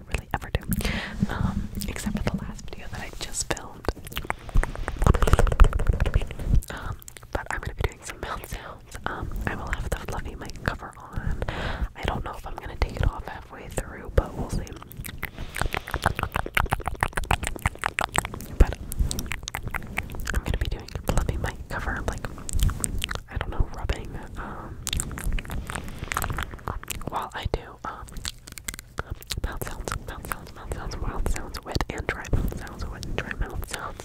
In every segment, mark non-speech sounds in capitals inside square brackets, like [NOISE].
I really ever do. Um, except for the last video that I just filmed. Um, but I'm gonna be doing some mouth sounds. Um, I will have the fluffy mic cover on. I don't know if I'm gonna take it off halfway through, but we'll see. But I'm gonna be doing fluffy mic cover, like I don't know, rubbing, while I do um, mouth sounds, mouth sounds, mouth sounds, mouth sounds, wet and dry mouth sounds, wet and dry mouth sounds.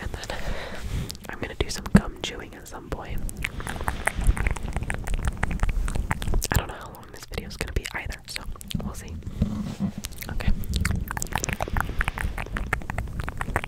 And then I'm gonna do some gum chewing at some point. I don't know how long this video is gonna be either, so we'll see. Okay.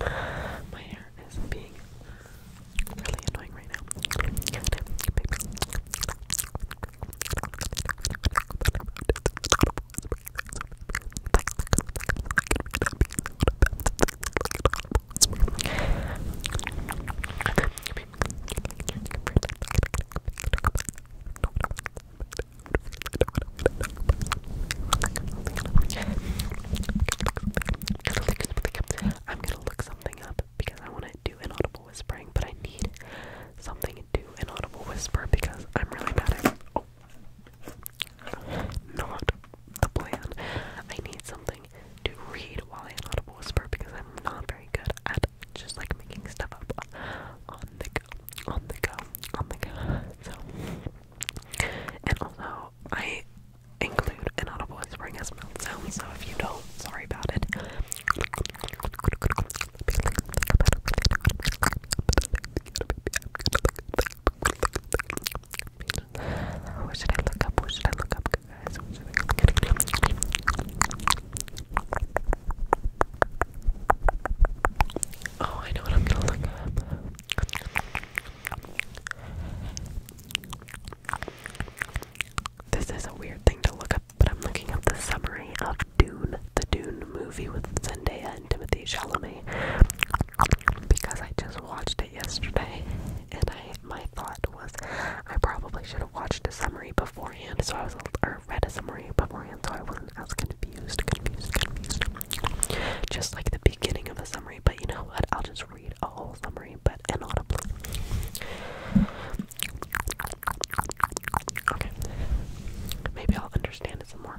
My hair is being really annoying right now. I'm gonna look something up because I want to do inaudible whispering, but I need something to do inaudible whisper because I'm really bad at. Oh, not the plan. I need something to read while I audible whisper because I'm not very good at just like making stuff up on the go, on the go, on the go. [LAUGHS] So, and also I include an audible whispering as mouth So if you don't, sorry about it. What should I look up? What should I look up, guys? Oh, I know what I'm gonna look up. This is a weird thing to look up, but I'm looking up the summary of Dune, the Dune movie with Zendaya and Timothy Chalamet, because I just watched it yesterday, and I my thought was I probably should watched a summary beforehand, so I was or read a summary beforehand, so I wasn't as confused, confused, confused. Just like the beginning of a summary, but you know what? I'll just read a whole summary, but inaudible. maybe I'll understand it more.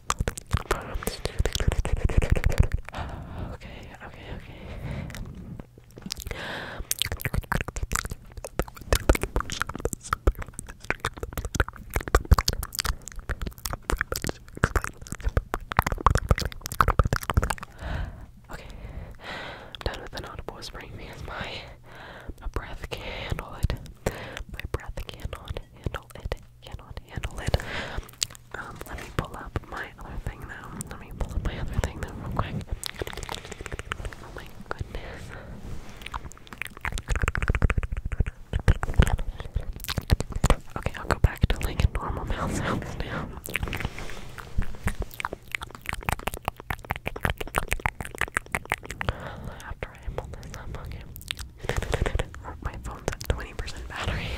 Okay, okay, okay. Okay, I'm done with an audible whispering because my, breath can't handle it. My breath can handle it cannot handle it. Um, let me pull up my other thing though. Let me pull up my other thing though real quick. Oh, okay, I'll go back to like normal mouth After I pull this up, okay. [LAUGHS] My phone's at 20% battery. [LAUGHS]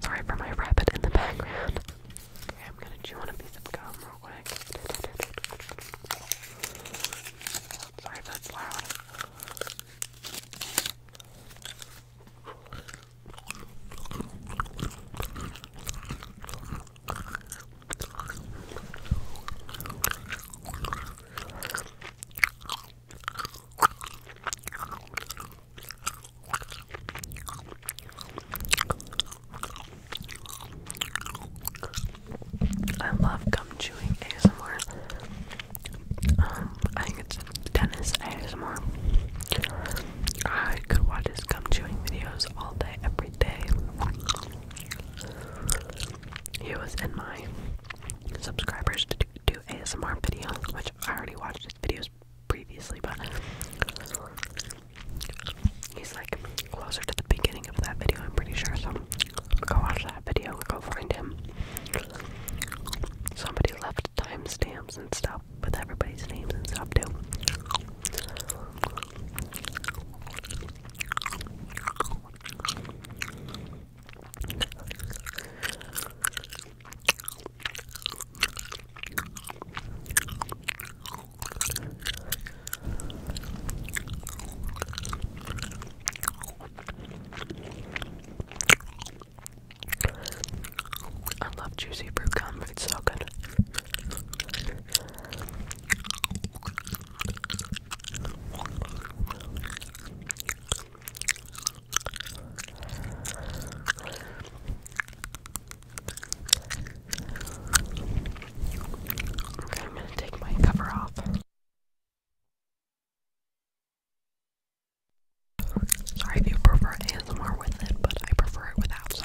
Sorry for my rabbit in the background. Okay, I'm gonna chew on a piece of gum real quick. Sorry if that's loud. I love gum chewing ASMR. Um, I think it's Dennis ASMR. I could watch his gum chewing videos all day, every day. He was in my subscribers to do ASMR videos, which I already watched his videos previously, but He's like closer to the beginning of that video, I'm pretty sure. So go watch that video, go find him. Somebody left timestamps and stuff with everybody's names and stuff too. I love juicy fruit gum, it's so good. Okay, I'm gonna take my cover off. Sorry if you prefer ASMR with it, but I prefer it without, so.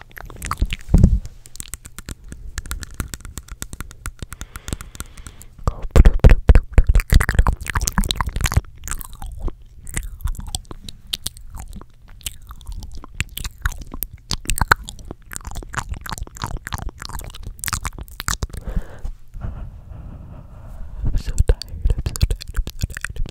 I'm so tired, I'm so tired, I'm so tired,